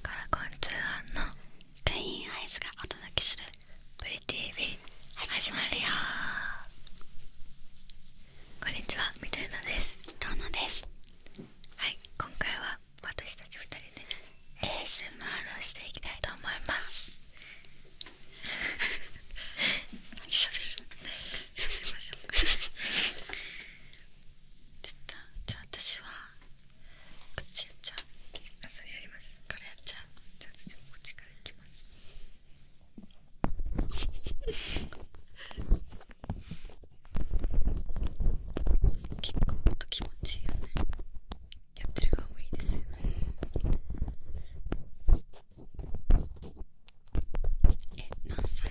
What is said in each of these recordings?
カラコン通ーのクイーンアイズがお届けする「プリ TV」始まるよこんにちはみとゆなですどうもですはい今回は私たち2人で ASMR をしていきたいと思います ちょっとじゃあ私はこっちやっちゃうあそれやりますからやっちゃうじゃあ私もこっちからいきます結構音気持ちいいよねやってる側もいいですよねえ何歳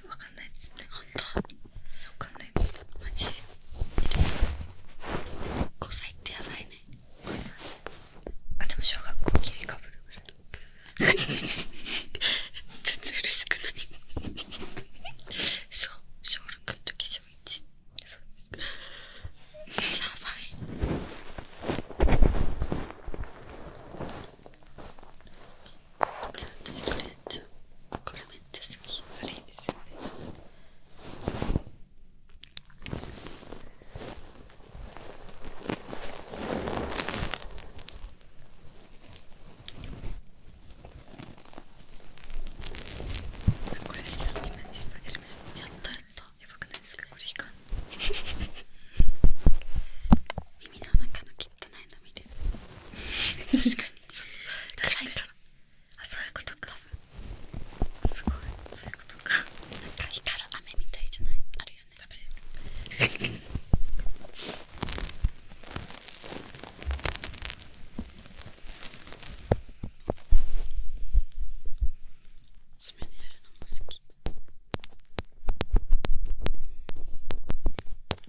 わかんないですね本当わかんないですマ歳ってやばいね5歳あでも小学校切りかぶるぐらい全然嬉しくないそう小6の時小1やばい私これちょこれめっちゃ好きそれいいですよねこれ質問にしたやりましたやったやったやばくないですかこれ光る 耳の中の汚確かにそう臭いからそういうことかすごいそういうことかなんか光る雨みたいじゃないあるよね食べる爪でやるのも好き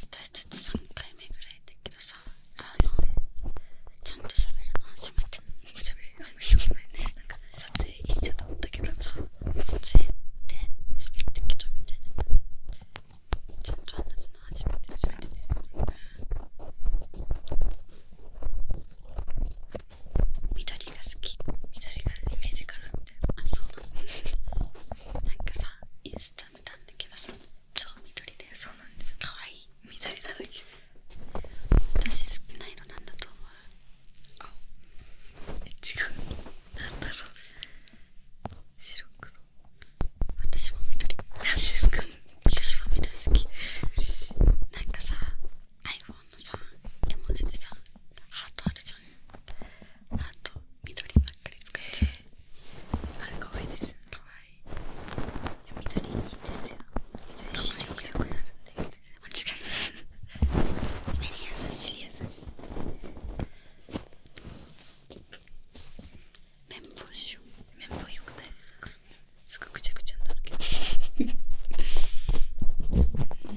私たち3回目ぐらいだけどさそうですねちゃんと喋るの初めておしゃべりあんましたないねなんか撮影一緒だったけどさ撮影って喋ってけどみたいなちゃんと話すの初めて初めてですね緑が好き緑がイメージからあそうなのなんかさインスタ見たんだけどさ超緑でそうなんですかわいい緑だらけ私好きなのなんだと思う青え違う何だろう白黒私も緑マですか私も緑好き嬉なんかさ iPhone のさ絵文字でさハートあるじゃんハート緑ばっかり使っちゃうあれかわいいですかわいいいや緑いいですよ緑視力良くなるって言って間違いない目に優しい優しい綿棒しよう綿棒良くないですかすぐぐちゃぐちゃになるけど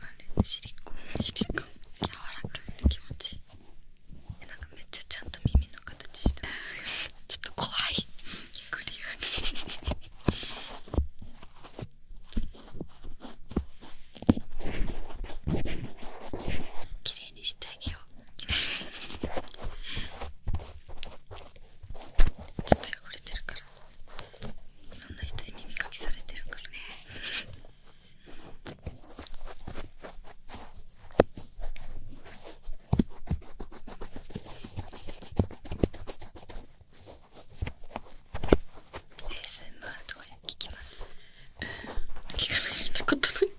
あれシリコンシリコン柔らかくて気持ちいいえなんかめっちゃちゃんと耳の形してちょっと怖い綺麗にしてあげようちょっと汚れてるからいろんな人に耳かきされてるからね ASMR とか聞きます聞かないしたことない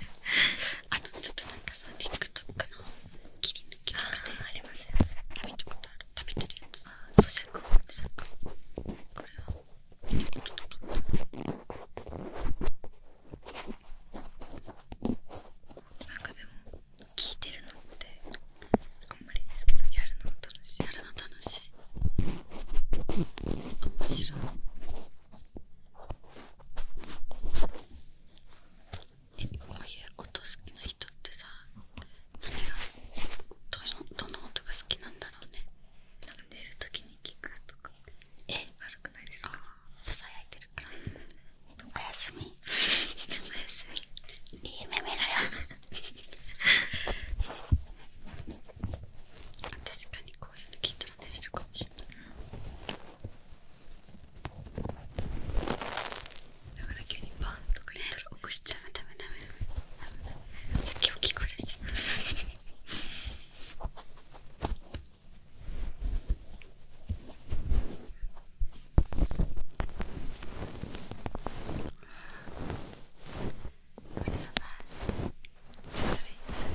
あとちょっとなんかさ TikTok の切り抜きとかでありますよ見たことあ食べてるやつああ咀嚼咀嚼これは音とかなんかでも聞いてるのってあんまりですけどやるのも楽しいやるの楽しい面白いえこういう音好きな人ってさ何がどのど音が好きなんだろうねなんか寝るときに聞くとかえ悪くないですかささやいてるからおやすみ夢見ろよ確かにこういうの聞いたら寝れるかもしれないだから急にバンとか言っ起こしちゃうダダメダメさっき大きい声出しちゃったこれやばいそれそれ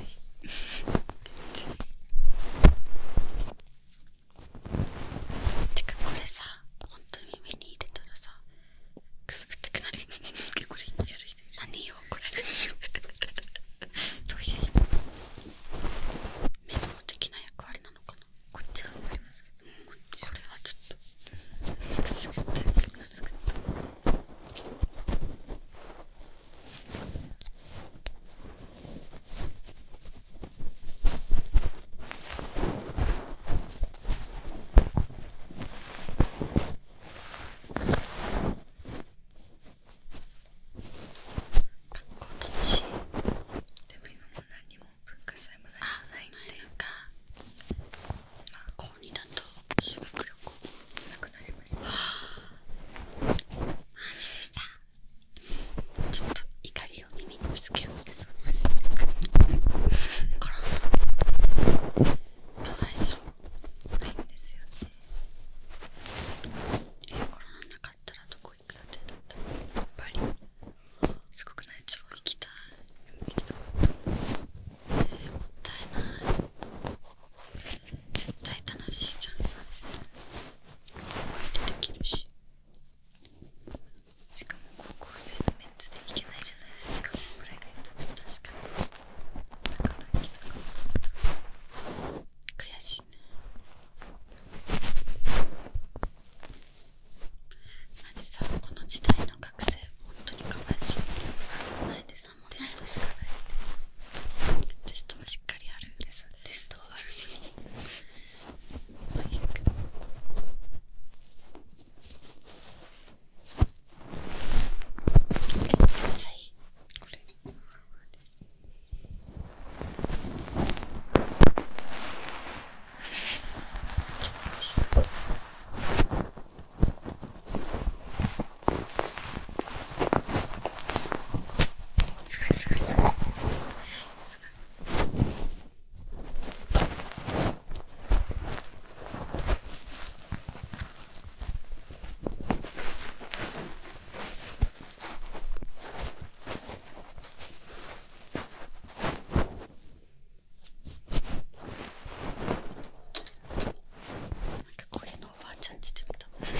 てかこれさ本当に耳に入れたらさくすぐってくなる これい何よこれどういうメモ的な役割なのかなこっちは分かりますけん、こっちこれはちょっとくすぐってくすぐって学校楽しでも今も何も文化祭も何もないっていうかまあ高2だと修学旅行なくなりましたマジでしたちょっと怒りを耳にぶつけようとします。これはかわいそうないんですよね。えコロナなかったらどこ行く予定だったやっぱりすごくない超行きたい行きたかった、もったいない絶対楽しいチャンスです思い出できるししかも高校生のメンツでいけないじゃないですかぐらいがートで確かにだからいきたかっ悔しいねマジさこの時代の学生本当にかわいそう何もないです何もテストしかないでテストもしっかりあるんです。テストはあるのにめっちゃいいこれすごいすごいすごいですかなんかこれのおばあちゃんちで見たある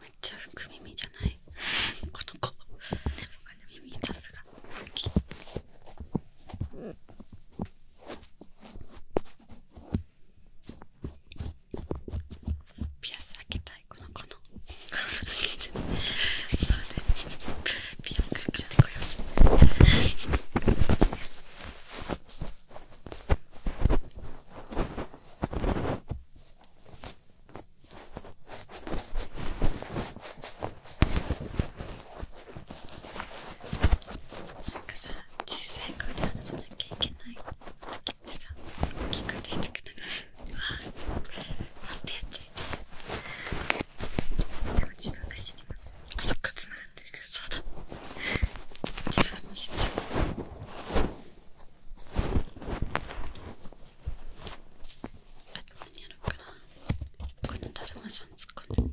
めっちゃ福耳じゃない この子他の 耳たぶがピアス開けたいこの子のそうねピアス開けちゃうこやつこなんかさ小さい声で話さなきゃいけない時ってさ大きい声でしたくなるうわーってやっちゃいてでも自分が知りますあそっか繋がってるからそうだ自分も知ちゃうあと何やろうかなこのだるまさん突っ込んでだる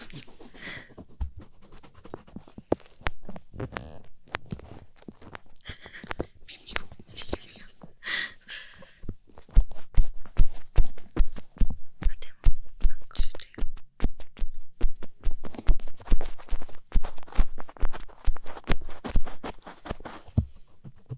まさん耳を耳があでもなんかち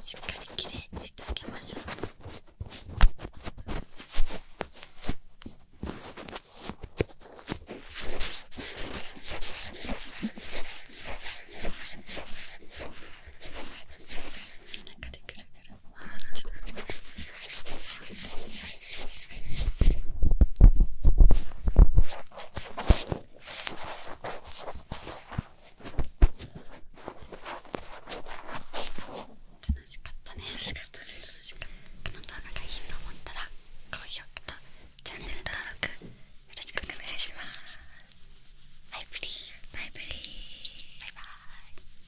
しっかりきれいにしてあげましょう。中でぐるぐる回ってる。楽しかったね楽しかったね。楽しかですこの動画がいいと思ったら高評価とチャンネル登録よろしくお願いしますバイブリーバイブリーバイバーイ